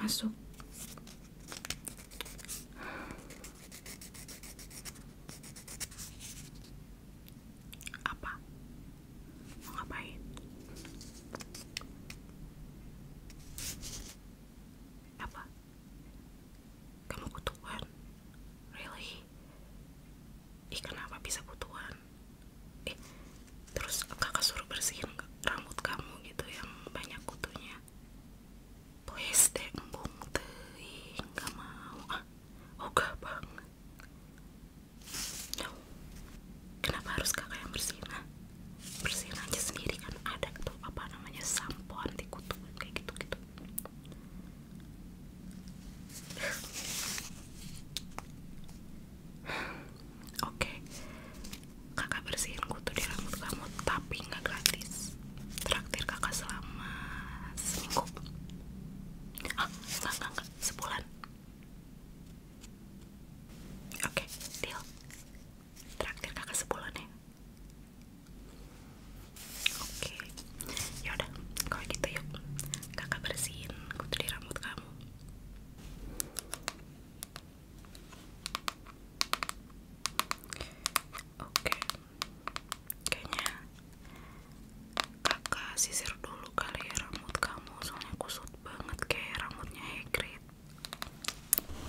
masuk apa mau ngapain apa kamu kutuan really ih kenapa bisa kutuan eh terus kakak suruh bersihin rambut kamu gitu yang banyak kutunya please deh nggak mau oh ogah banget no kenapa harus kakak yang bersihin ah? bersihin aja sendiri kan ada tuh apa namanya sampo anti kutu kayak gitu gitu Oke, kakak bersihin kutu di rambut kamu, tapi nggak gratis. Traktir kakak selama seminggu. Ah, nggak nggak sebulan. Oke, deal. Traktir kakak sebulan ya. Oke, yaudah kalau kita gitu yuk kakak bersihin kutu di rambut kamu. Oke, kayaknya kakak sisir dulu kali ya rambut kamu, soalnya kusut banget kayak rambutnya Hagrid. Oke,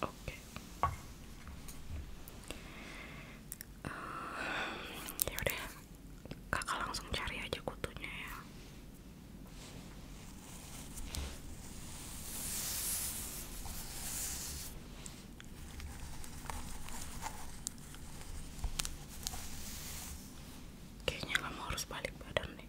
Okay. Eh, ya uh, kakak langsung cari aja kutunya ya. Kayaknya kamu harus balik badan nih.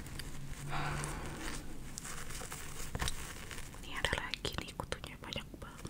Ini ada lagi nih kutunya banyak banget.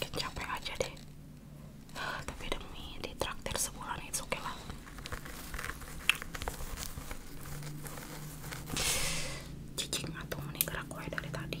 capek aja deh tapi demi ditraktir sebulan itu oke okay lah cicing atau meninggal aku dari tadi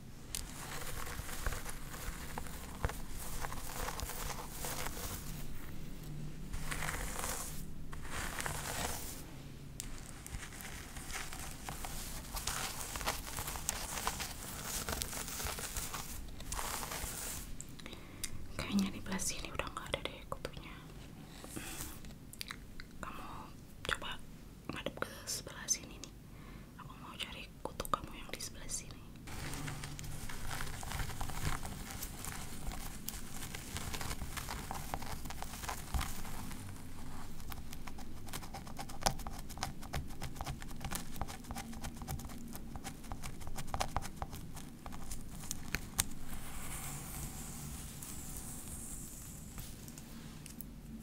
Kayaknya di belah sini udah nggak ada deh kutunya. Hmm. Kamu coba ngadep ke sebelah sini nih aku mau cari kutu kamu yang di sebelah sini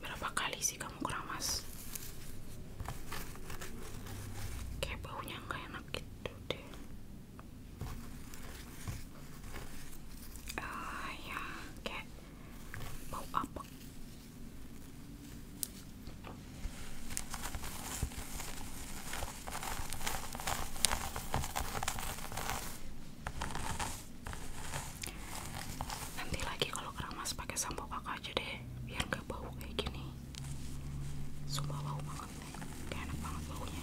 Berapa kali sih kamu keramas? Kayak baunya enggak enak gitu deh. Ah ya, kayak bau apa? Nanti lagi kalau keramas pakai sampo pakai aja deh, biar nggak bau kayak gini. Sumpah bau banget nih, kayak enak banget baunya.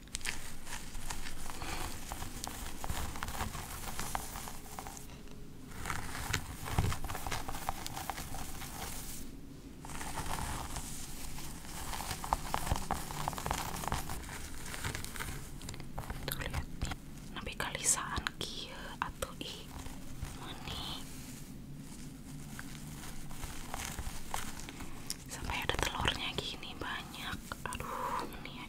Tuh lihat nabi kalisaan kia atau i meni sampai ada telurnya gini banyak aduh meni ya.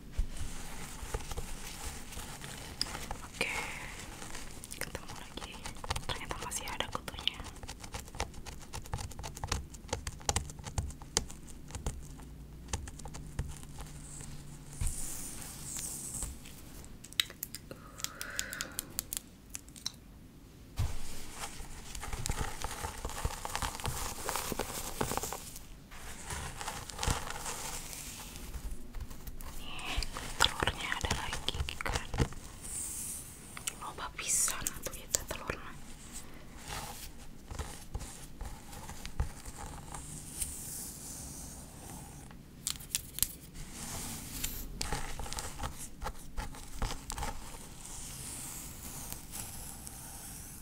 Oke, ketemu lagi. Ternyata masih ada kutunya. Nih, telurnya ada lagi kan. Loba pisan atuh itu telurnya.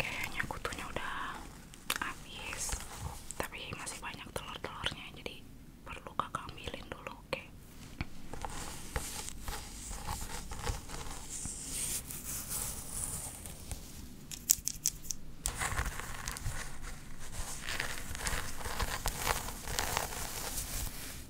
Kayaknya kutunya udah habis, tapi masih banyak telur-telurnya, jadi perlu kakak ambilin dulu, Oke,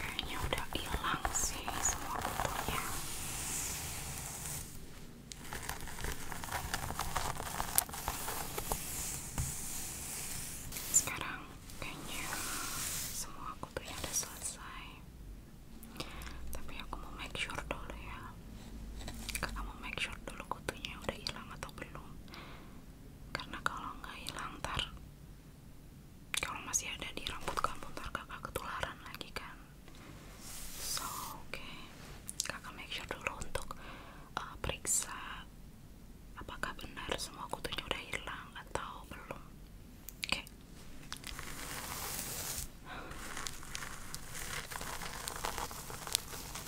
Kayaknya udah hilang sih semua kutunya. Sekarang kayaknya semua kutunya udah selesai. Tapi aku mau make sure dulu ya. mau make sure dulu kutunya udah hilang atau belum karena kalau nggak hilang tar kalau masih ada di rambut kamu tar kakak ketularan lagi kan so oke kakak make sure dulu untuk uh, periksa apakah benar semua kutunya udah hilang atau belum oke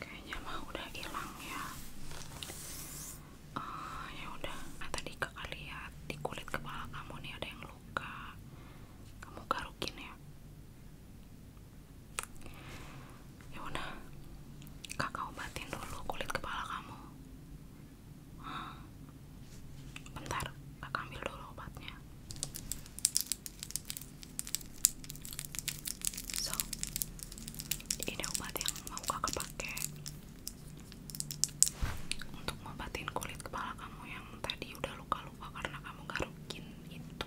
kayaknya mah udah hilang ya uh, ya udah nah, tadi kakak lihat di kulit kepala kamu nih ada yang luka kamu garukin ya ya udah kakak obatin dulu kulit kepala kamu bentar kakak ambil dulu obatnya So, ini obat yang mau kakak pakai untuk ngobatin kulit kepala kamu yang tadi udah luka-luka karena kamu garukin itu.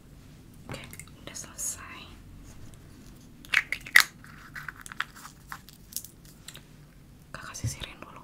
Oke, udah selesai. Kakak sisirin dulu.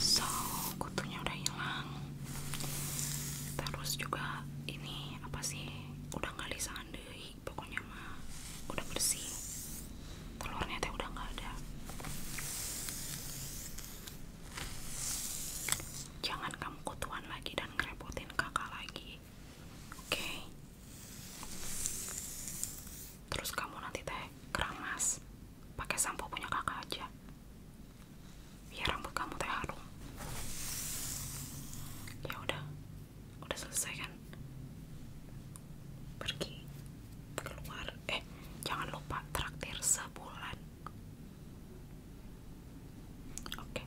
So, kutunya udah hilang. Terus juga ini apa sih? Udah nggak lisahan deh, pokoknya mah udah bersih. Telurnya teh udah nggak ada. Jangan kamu kutuan lagi dan ngerepotin kakak lagi. Oke. Terus kamu nanti teh kerang mas, pakai sampo punya kakak aja. Biar rambut kamu teh harum. Ya udah, udah selesai kan? Pergi keluar. Eh, jangan lupa traktir sebulan. Oke.